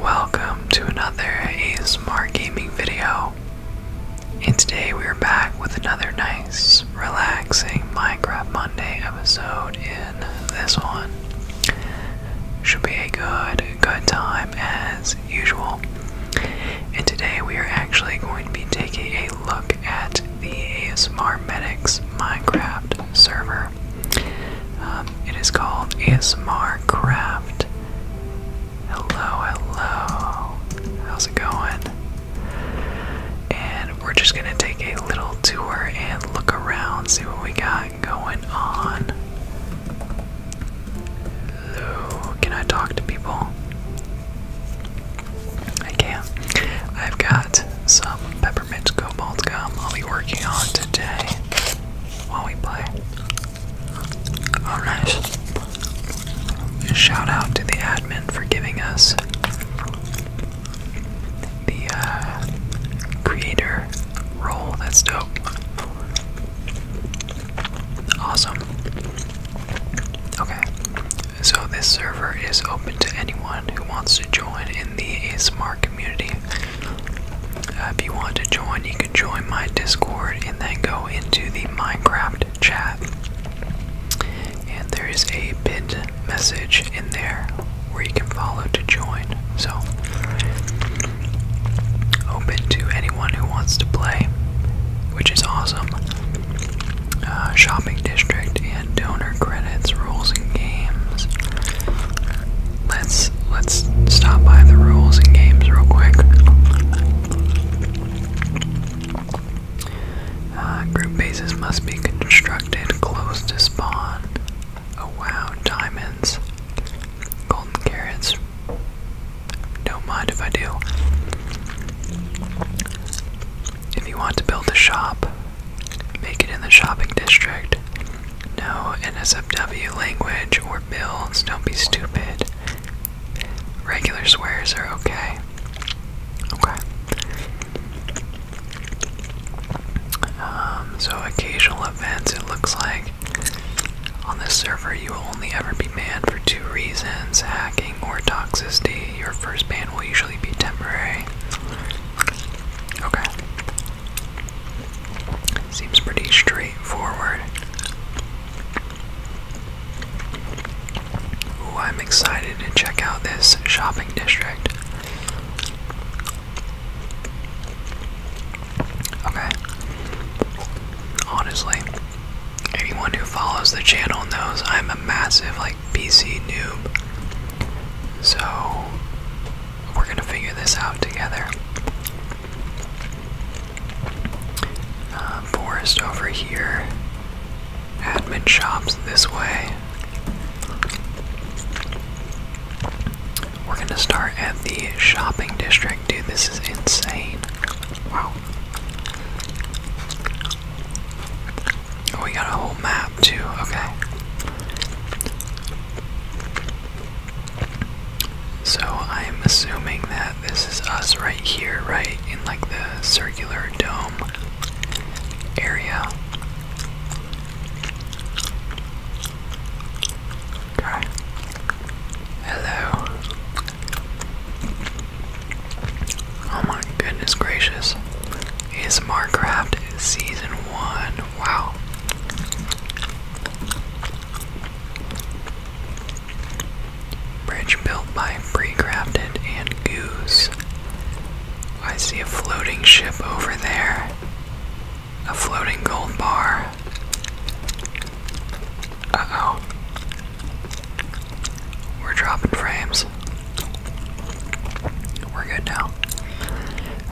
Welcome to another ASMR gaming video. And today we are back with another nice, relaxing Minecraft Monday episode in this one. Should be a good, good time as usual. And today we are actually going to be taking a look at the ASMR Medics Minecraft server. Um, it is called ASMR Craft. Hello, hello. How's it going? And we're just gonna take a little tour and look around, see what we got going on. can I talk to people? I can. I've got some peppermint peppermint cobalt I'll be working on today while we play. Oh, Shout out to the admin for giving us the uh, creator role. That's dope. Awesome. Okay, so this server is open to anyone who wants to join in the ASMR community. Uh, if you want to join, you can join my Discord and then go into the Minecraft chat. And there is a bid message in there where you can follow to join. So, open to anyone who wants to play, which is awesome. Uh, shopping district and donor credit planets, rules and games. Let's let's stop by the rules and games real quick. Uh, group bases must be constructed close to spawn. Oh wow, diamonds. Golden carrots. Don't mind if I do. If you want to build a shop, make it in the shopping district. No NSFW language or bills, don't be stupid. Regular swears are okay. Okay. Um, so occasional events, it looks like. On this server, you will only ever be banned for two reasons hacking or toxicity. Your first ban will usually be temporary. Okay. Seems pretty straightforward. Ooh, I'm excited to check out this shopping district. Okay. Honestly, anyone who follows the channel knows I'm a massive like PC noob. So we're gonna figure this out together. Uh, forest over here. Admin shops this way. We're gonna start at the shopping district, dude. This is insane. Wow. Oh, we got a whole map too. Okay. So I'm assuming that this is us right here, right? In like the circular dome area. Hello. Oh my goodness gracious. Is Marcraft Season 1 Wow. Bridge built by Pre-Crafted and Goose. I see a floating ship over there. A floating gold bar. Uh oh. We're dropping frames. We're good now.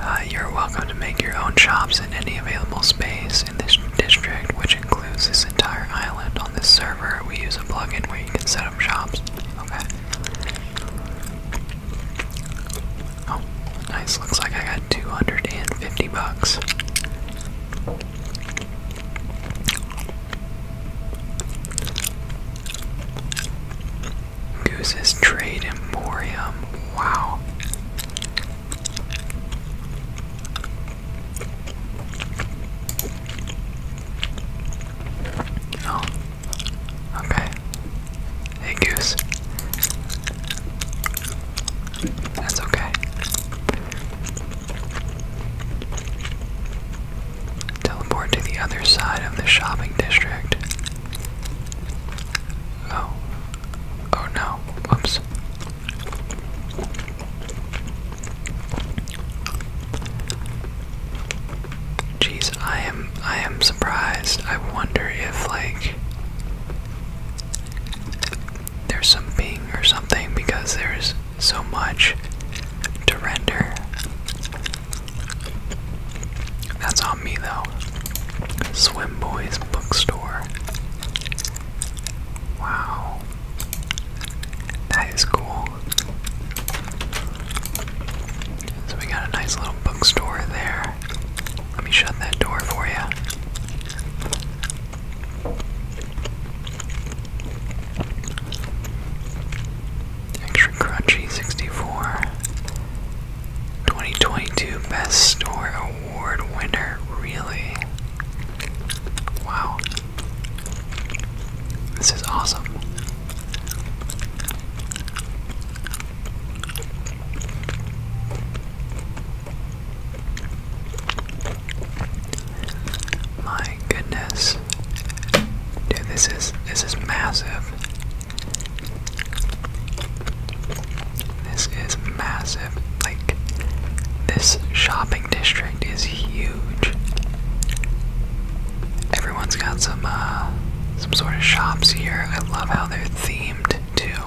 Uh, you're welcome to make your own shops in any available space in this district, which includes this entire island. On this server, we use a plugin where you can set up shops. Oh, nice. Looks like I got 250 bucks. Goose's Trade Emporium. Wow. Oh. Okay. Hey, Goose. That's okay. Teleport to the other side of the shopping district. Oh. Oh no. Whoops. Jeez, I am I am surprised. I wonder if like there's some ping or something because there's so much to render. That's on me though. Swim Boys Bookstore. Wow. That is cool. So we got a nice little bookstore there. Let me shut that door for you. Extra Crunchy 64. 2022 Best Store Award winner. Really? Wow. This is awesome. My goodness. Dude, this is this is massive. This is massive. Like, this shopping district is huge. Everyone's got some, uh, some sort of shops here. I love how they're themed, too.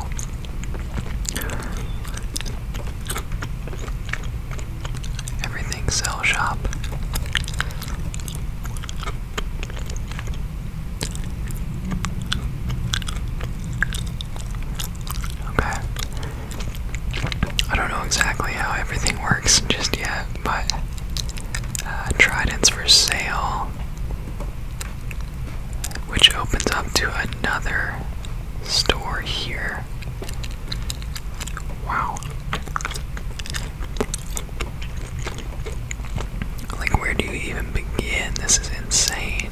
Everything sell shop. Okay. I don't know exactly how everything works just yet, but uh, Trident's for sale, which opens up to another store here. Wow. Like, where do you even begin? This is insane.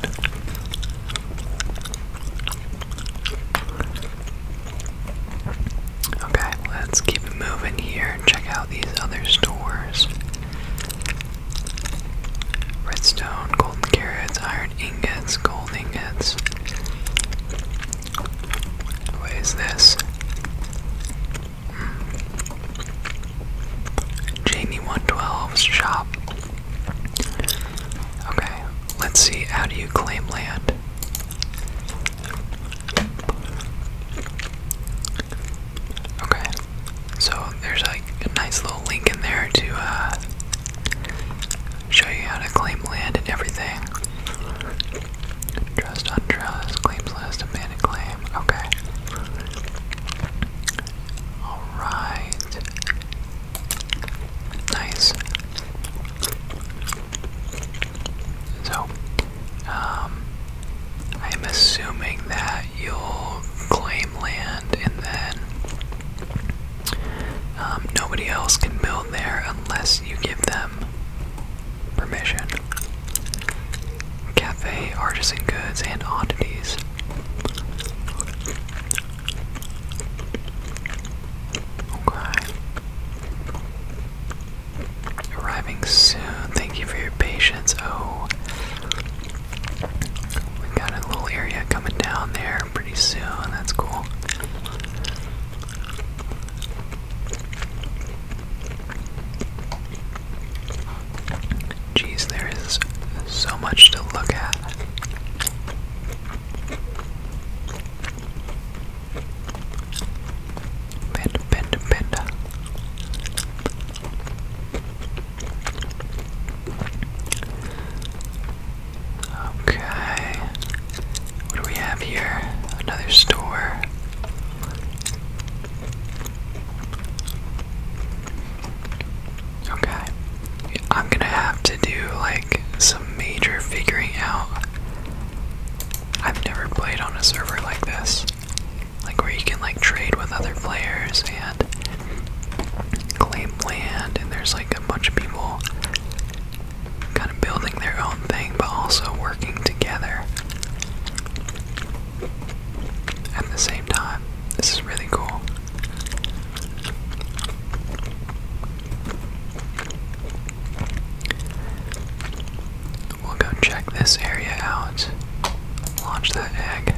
Okay, let's keep moving here check out these other stores redstone, golden carrots, iron ingots, gold ingots. What is this? Jamie 112's shop. Okay, let's see. How do you claim land? Okay, so there's like a nice little link in there to uh, show you how to claim land and everything. Trust, untrust, claims list, abandoned claim. Okay. Alright. Nice. So, um, I'm assuming that you'll claim land and then um, nobody else can build there unless you give them permission cafe, artisan goods, and oddities. Arriving soon. Thank you for your patience. Oh, we got a little area coming down there pretty soon. That's cool. Jeez, there is so much to look at. Panda, panda, panda. Okay. What do we have here? Another store. Okay. I'm gonna have to do like some major figuring out. I've never played on a server like this. Like where you can like trade with other players and claim land and there's like a bunch of people kind of building their own thing but also working together at the same time. This is really cool. We'll go check this area out. Launch that egg.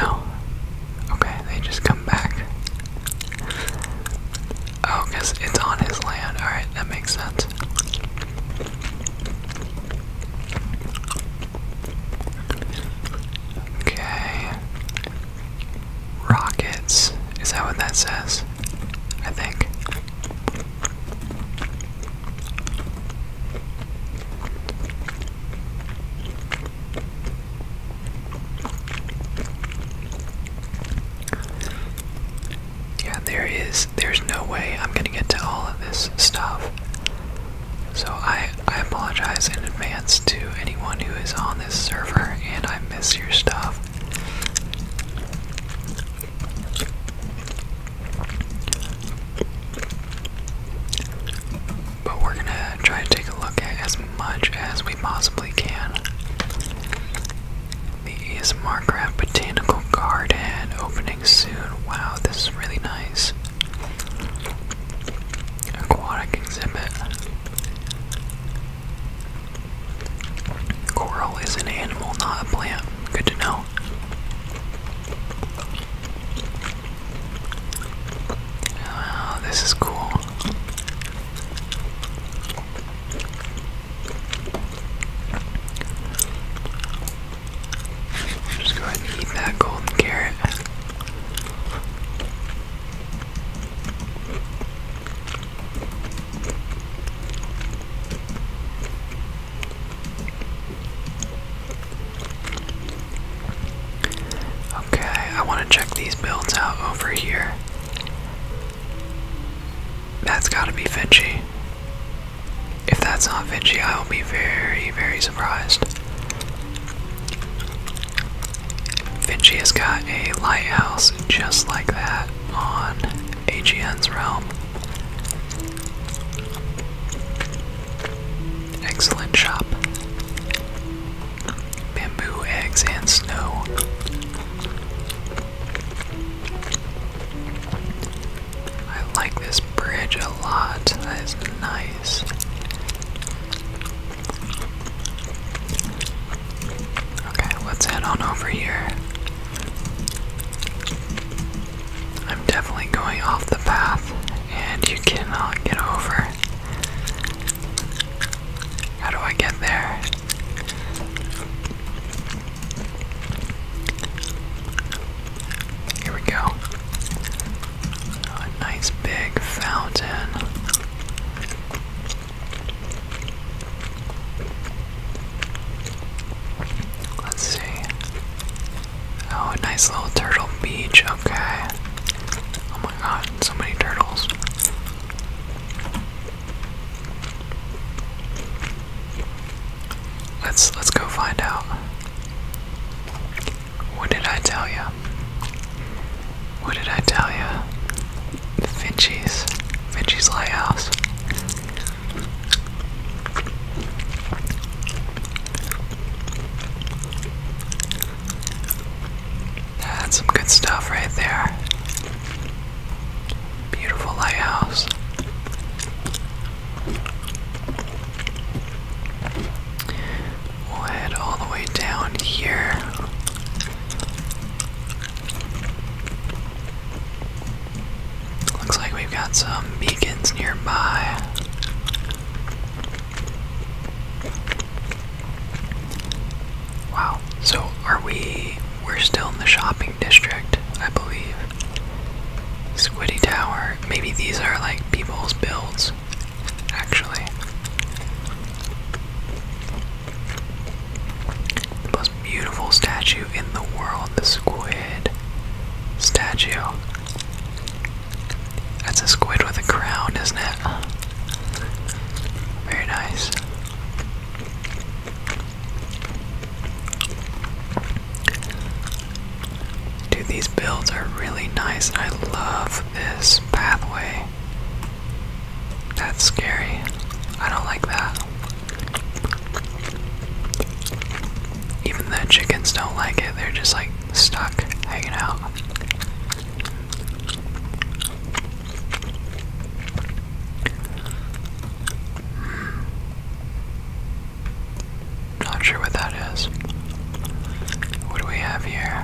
No. Okay, they just come back. Oh, because it's on his land. Alright, that makes sense. Okay. Rockets. Is that what that says? I think. Yeah, there is there's no way I'm gonna get to all of this stuff. So I I apologize in advance to anyone who is on this server and I miss your stuff but we're gonna try to take a look at as much as we possibly can. The ASMR Botanical Garden opening soon. Wow, this is really nice. Aquatic exhibit. Coral is an animal, not a plant. Good to know. Oh, this is cool. Just go ahead and eat that golden carrot. Okay, I want to check these builds out over here. That's gotta be Vinci. If that's not Vinci, I will be very, very surprised. Vinci has got a lighthouse just like that on AGN's realm. Excellent shop bamboo, eggs, and snow. I like this bridge a lot. That is nice. Okay, let's head on over here. I'm definitely going off the path, and you cannot get over. How do I get there? Here we go. A nice big fountain. Let's see. Oh, a nice little turtle beach. Okay. Oh my god, so many turtles. Let's let's go find out. What did I tell you? What did I tell you? Finchie's, Finchie's Lighthouse. That's some good stuff right there. Beautiful lighthouse. We'll head all the way down here. Looks like we've got some beacons nearby. Wow. So are we we're still in the shopping district, I believe. Squiddy Tower. Maybe these are like people's builds, actually. The most beautiful statue in the world, the squid statue. That's a squid with a crown, isn't it? Very nice. Dude, these builds are really nice. I love this pathway. That's scary. I don't like that. Even the chickens don't like it, they're just like stuck hanging out. Not sure what that is. What do we have here?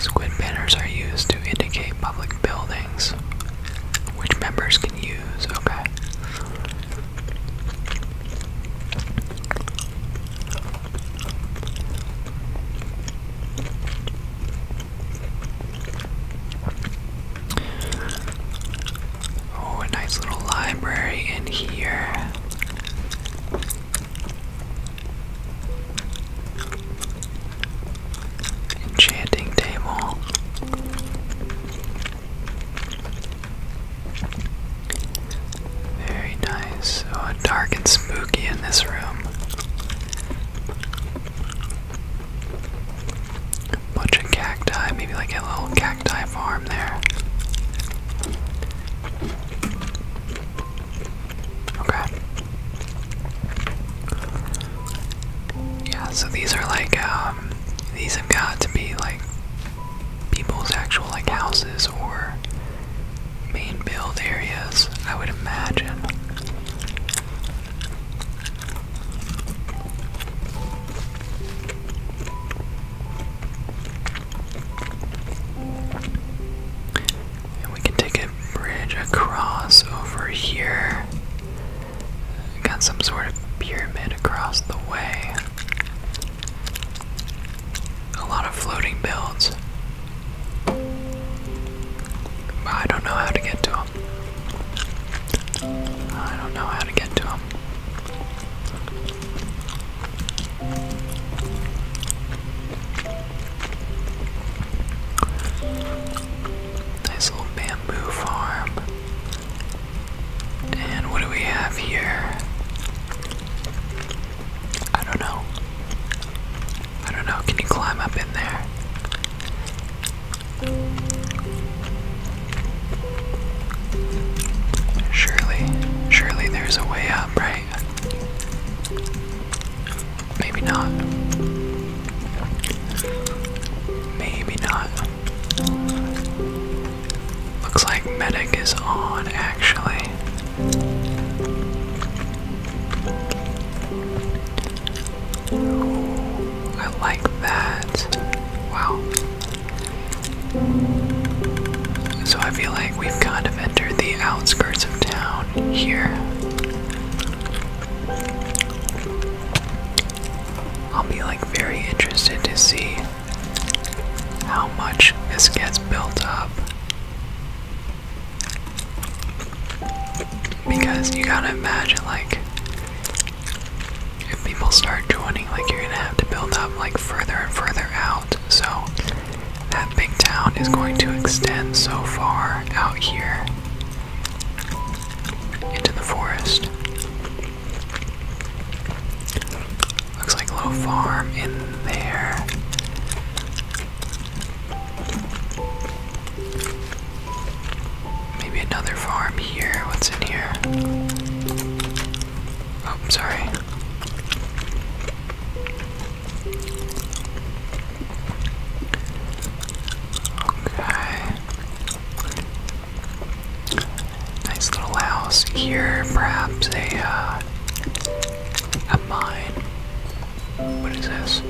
Squid banners are used to indicate public buildings which members can use, okay? Oh, a nice little library in here. Enchanting table. Very nice. Oh, dark and spooky in this room. Bunch of cacti, maybe like a little cacti farm there. Okay. Yeah, so these are like, um, these have got to be like people's actual like houses or main build areas, I would imagine. And we can take a bridge across over here. Got some sort of pyramid across the way. A lot of floating builds. I don't know how to get to them. I don't know how to get to them. Nice little bamboo farm. And what do we have here? I don't know. I don't know. Can you climb up in there? Surely, surely there's a way up, right? Maybe not. Maybe not. Looks like medic is on actually. I like that. Wow. So I feel like we've kind of entered the outskirts of town here. I'll be like very interested to see how much this gets built up. Because you gotta imagine like if people start joining, like you're gonna have to build up like further and further out. So that big town is going to extend so far out here into the forest. Looks like a little farm in there. Maybe another farm here. What's in here? Oh, sorry. Okay. Nice little house here, perhaps a uh, a mine. What is this?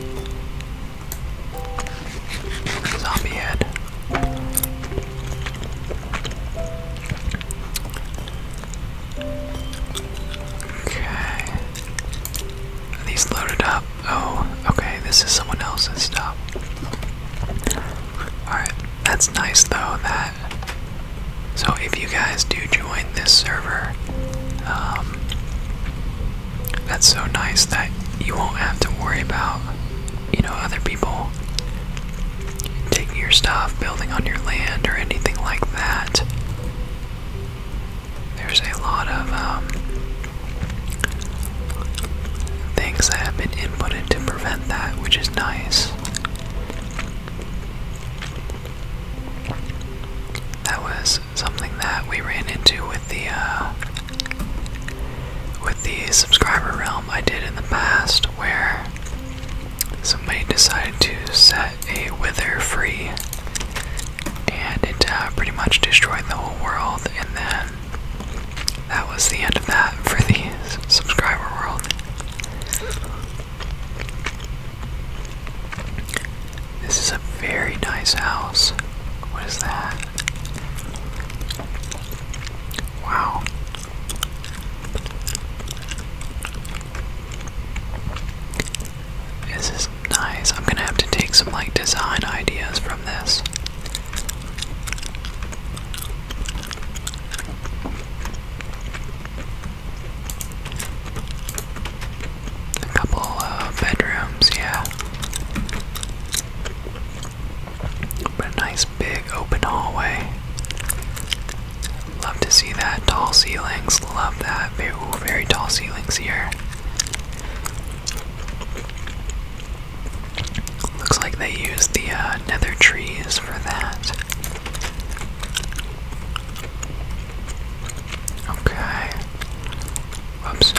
Zombie head. Okay. these loaded up? Oh, okay, this is someone else's stuff. Alright, that's nice though, that. So if you guys do join this server, um, that's so nice that you won't have to worry about, you know, other people taking your stuff, building on your land, or anything like that. There's a lot of, um, Things that have been inputted to prevent that, which is nice. That was something that we ran into with the uh, with the subscriber realm I did in the past, where somebody decided to set a wither free, and it uh, pretty much destroyed the whole world, and then that was the end of that for the subscriber world. This is a very nice house. What is that? Wow. This is nice. I'm gonna have to take some like design ideas from this. A couple of uh, bedrooms, yeah. But a nice big open hallway. Love to see that. Tall ceilings, love that. Very, very tall ceilings here. Looks like they used the uh, nether trees for that. Okay. Whoops.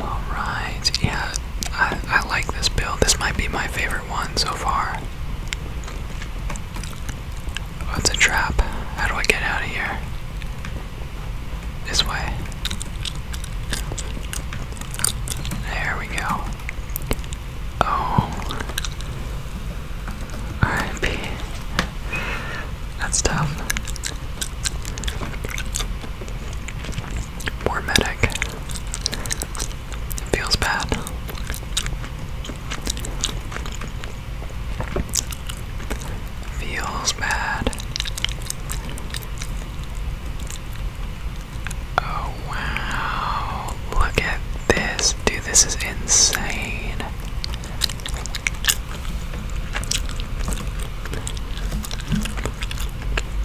Alright, yeah, I, I like this build. This might be my favorite one so far. That's a trap. How do I get out of here? This way. There we go. Oh. R.I.P. That's tough. More medic. feels bad. Feels bad. Oh wow. Look at this. Dude, this is insane.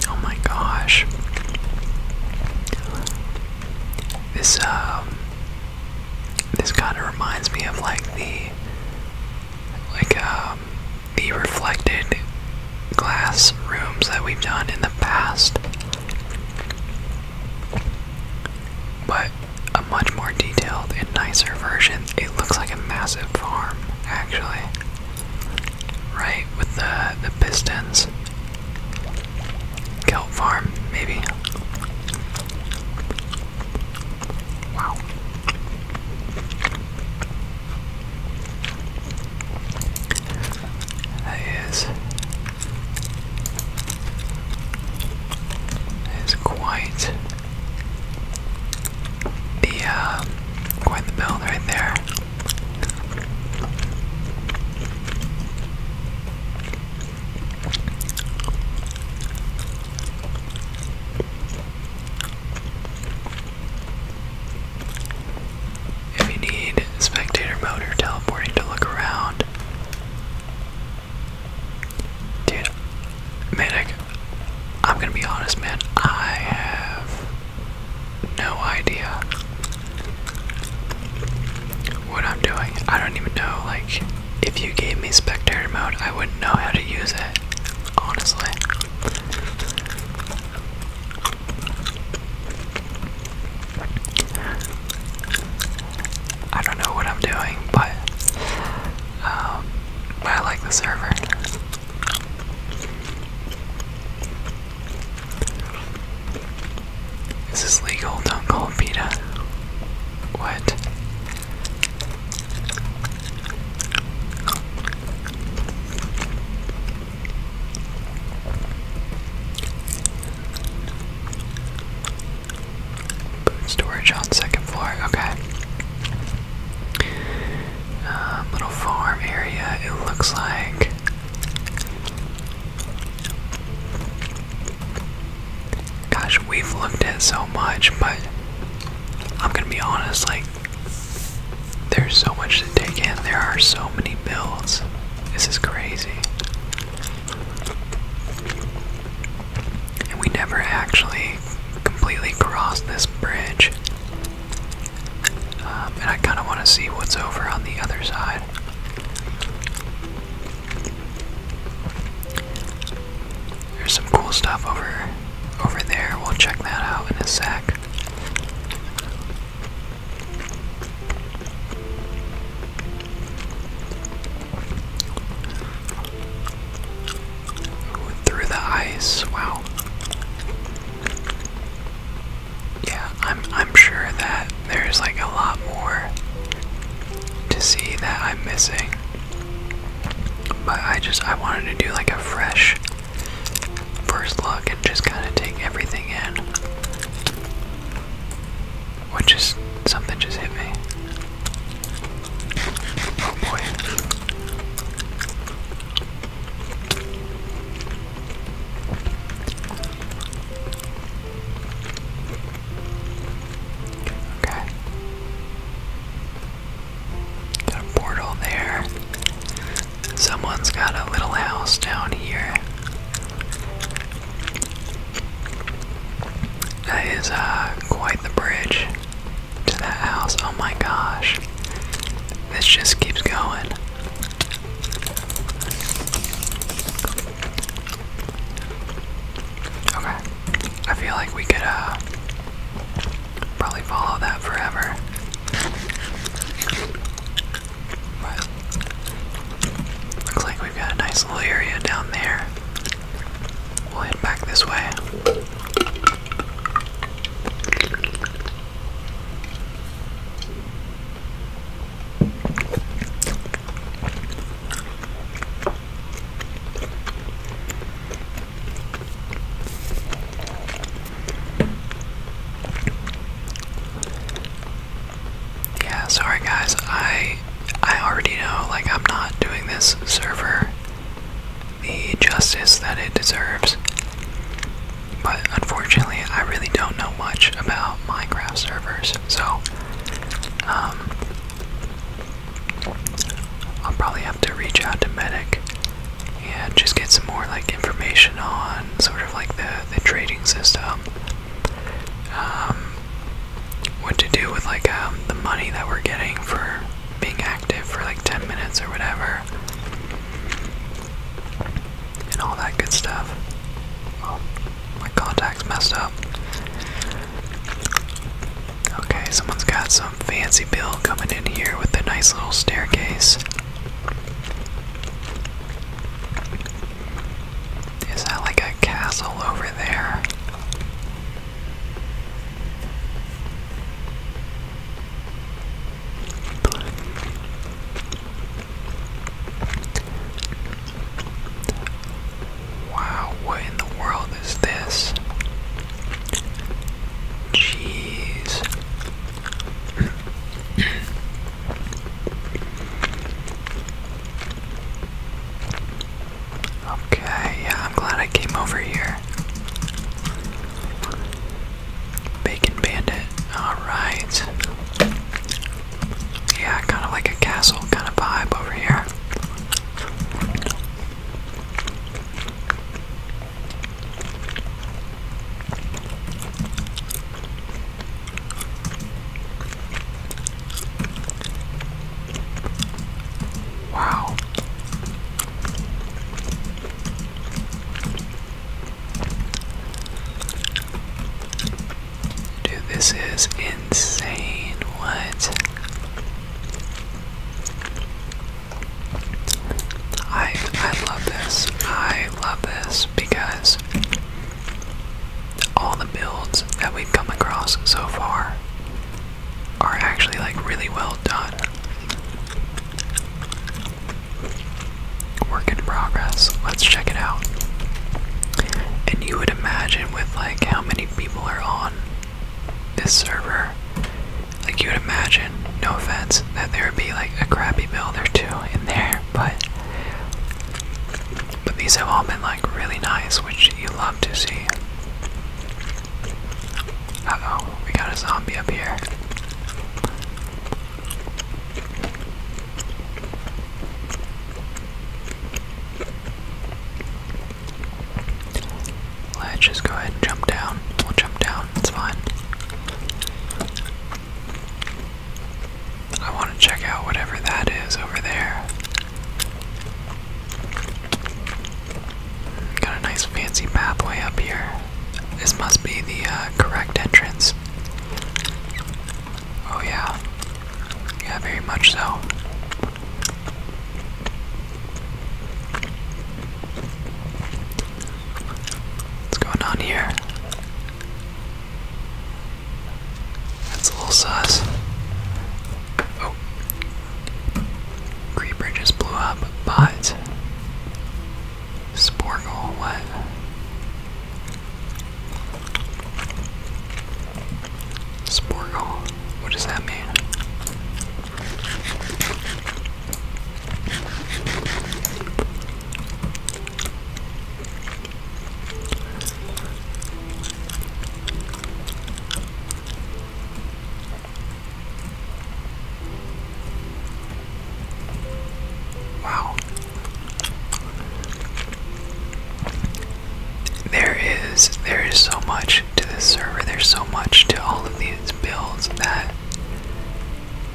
Oh my gosh. This um this kind of reminds me of like the like um the reflected glass rooms that we've done in the past. But a much more detailed and nicer version. It looks like a massive farm, actually right? With the the Pistons, kelp farm, maybe. Wow. That is. That is quite the uh, quite the build right there. If you need spectator mode teleporting to look around, dude, man, I'm gonna be honest, man. I have no idea what I'm doing. I don't even know, like, if you gave me spectator mode, I wouldn't know how to use it, honestly. I don't know what I'm doing, but um, I like the server. Is This legal, don't call it PETA. What? Food storage on second floor, okay. Uh, little farm area, it looks like. Gosh, we've looked at so much, but I'm gonna be honest, like, there's so much to take in. There are so many builds. This is crazy. And we never actually completely crossed this bridge. Um, and I kind of want to see what's over on the other side. There's some cool stuff over over there. We'll check that out in a sec. through the ice. Wow yeah, I'm I'm sure that there's like a lot more to see that I'm missing. But I just I wanted to do like a fresh first look and just kind of take everything in. Which just something just hit me. Oh boy. Okay. Got a portal there. Someone's got a little house down here. That is uh, quite the bridge to that house. Oh my gosh. This just keeps going. Okay. I feel like we could uh probably follow that forever. looks like we got a nice little area down there. We'll head back this way. Yeah, sorry guys. I I already know like I'm not doing this server the justice that it deserves. But unfortunately, I really don't know much about Minecraft servers, so um, I'll probably have to reach out to Medic and just get some more like information on sort of like the the trading system, um, what to do with like um, the money that we're getting for being active for like 10 minutes or whatever and all that good stuff. Well, my contact's messed up. Okay, someone's got some fancy bill coming in here with a nice little staircase. Is that like a castle over there? Wow, what in the world is this? Jeez. okay, I'm glad I came over here. Bacon bandit. Alright. Yeah, kind of like a castle kind of vibe over here. Wow. Dude, this is insane. What? I I love this. I love this because all the builds that we've come across so far are actually like really well done. Work in progress. Let's check it out. And you would imagine with like how many people are on this server, like you would imagine, no offense, that there would be like a crappy build or two in there, but but these have all been like really nice, which you love to see. oh, we got a zombie up here. Let's just go ahead and jump down. jump down, it's fine. I want to check out whatever that is over there. Got a nice fancy pathway up here. This must be the uh, correct entrance. Oh, yeah. Yeah, very much so. What's going on here? That's a little sus. Oh. Creeper just blew up, but Sporgle, what? Sporgle, what does that mean? Wow. There is there is so much to this server. There's so much to all of these builds that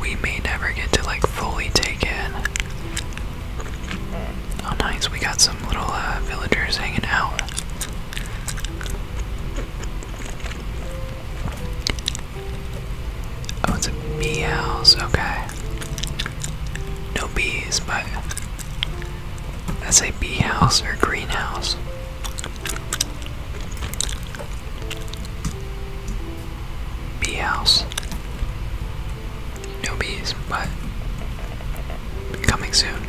we may never get to like fully take in. Oh nice, we got some little uh, villagers hanging out. Oh, it's a bee house. Okay. No bees, but that's a bee house or greenhouse. Bee house. No bees, but coming soon.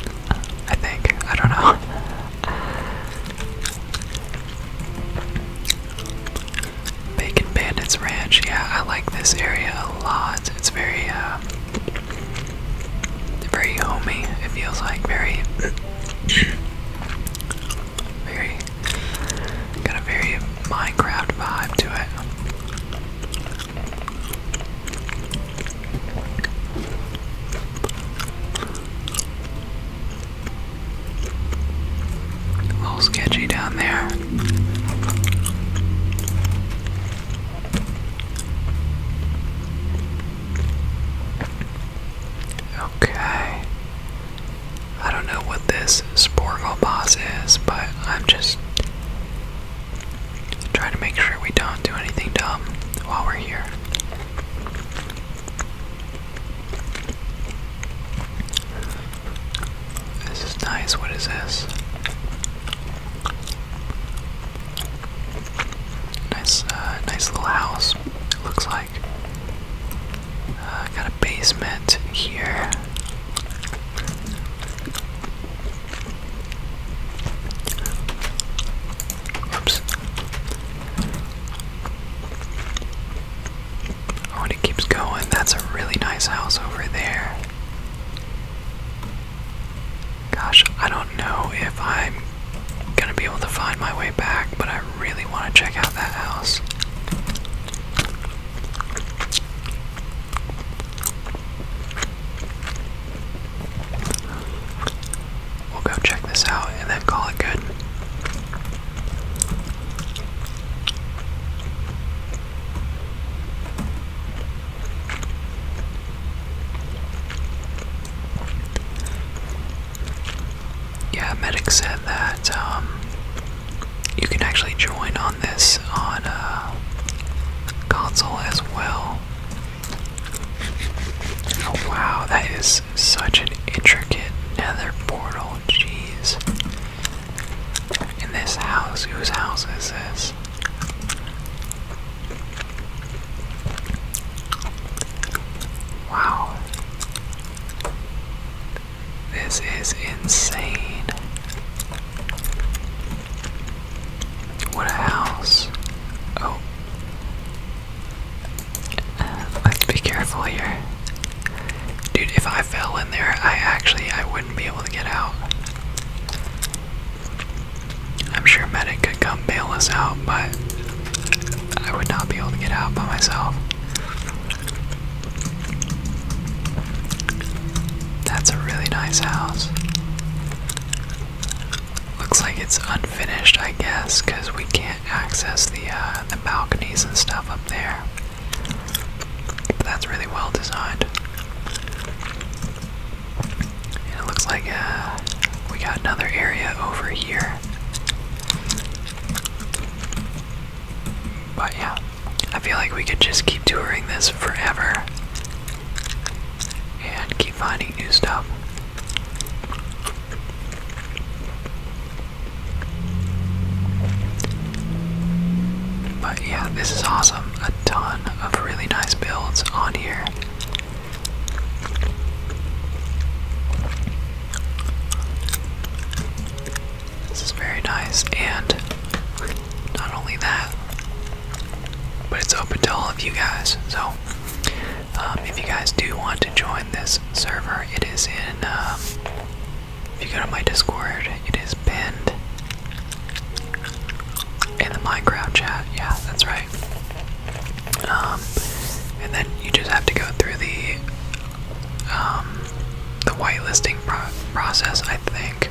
I think. I don't know. Bacon Bandits Ranch. Yeah, I like this area a lot. It's very, uh, very homey. It feels like very, very, got a very Minecraft vibe to it. A little sketchy down there. Okay. I don't know what this Sporgo boss is, but I'm just trying to make sure we don't do anything dumb while we're here. This is nice. What is this? Nice, uh, nice little house. It looks like. Uh, got a basement here. Oops. Oh, it keeps going. That's a really nice house over there. Gosh, I don't know if I'm gonna be able to find my way back, but I really want to check out that house. We'll go check this out and then call it good. Yeah, Medic said that um, you can actually join on this on uh, console as well. Oh wow, that is such an intricate nether portal, jeez. In this house, whose house is this? Wow. This is insane. What a house. Oh let's uh, be careful here. Dude, if I fell in there, I actually, I wouldn't be able to get out. I'm sure Medic could come bail us out, but I would not be able to get out by myself. That's a really nice house. Looks like it's unfinished, I guess, because we can't access the uh, the balconies and stuff up there. that's really well designed. And it looks like uh, we got another area over here. But yeah, I feel like we could just keep touring this forever and keep finding new stuff. But yeah, this is awesome. A ton of really nice builds on here. This is very nice, and not only that, but it's open to all of you guys. So um, if you guys do want to join this server, it is in. Um, if you go to my Discord, it is pinned in the Minecraft chat. Yeah, that's right. Um, and then you just have to go through the the whitelisting process, I think.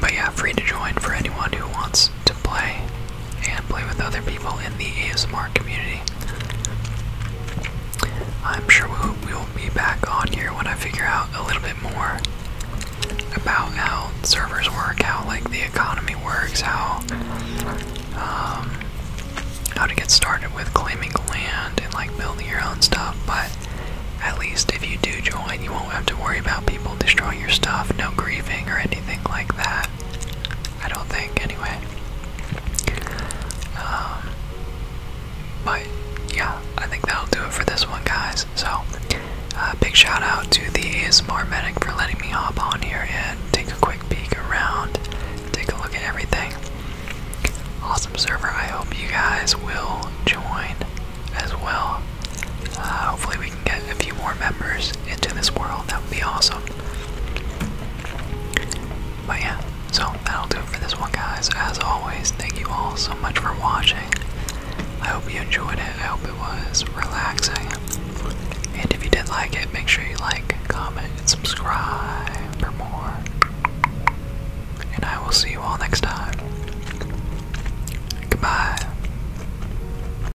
but yeah, free to join for anyone who wants to play and play with other people in the ASMR community. I'm sure we will be back on here when I figure out a little bit more about how servers work, how like the economy works, how um, how to get started with claiming land and like building your own stuff. But at least if you do join, you won't have to worry about people destroying your stuff, no grieving or anything like that. I don't think, anyway. Um, but yeah, I think that'll do it for this one, guys. So, uh, big shout out to the ASMR Medic for letting me hop on here and take a quick peek around, take a look at everything. Awesome server. I hope you guys will join as well. Uh, hopefully, we get a few more members into this world, that would be awesome. But yeah, so that'll do it for this one, guys. As always, thank you all so much for watching. I hope you enjoyed it. I hope it was relaxing. And if you did like it, make sure you like, comment, and subscribe for more. And I will see you all next time. Goodbye.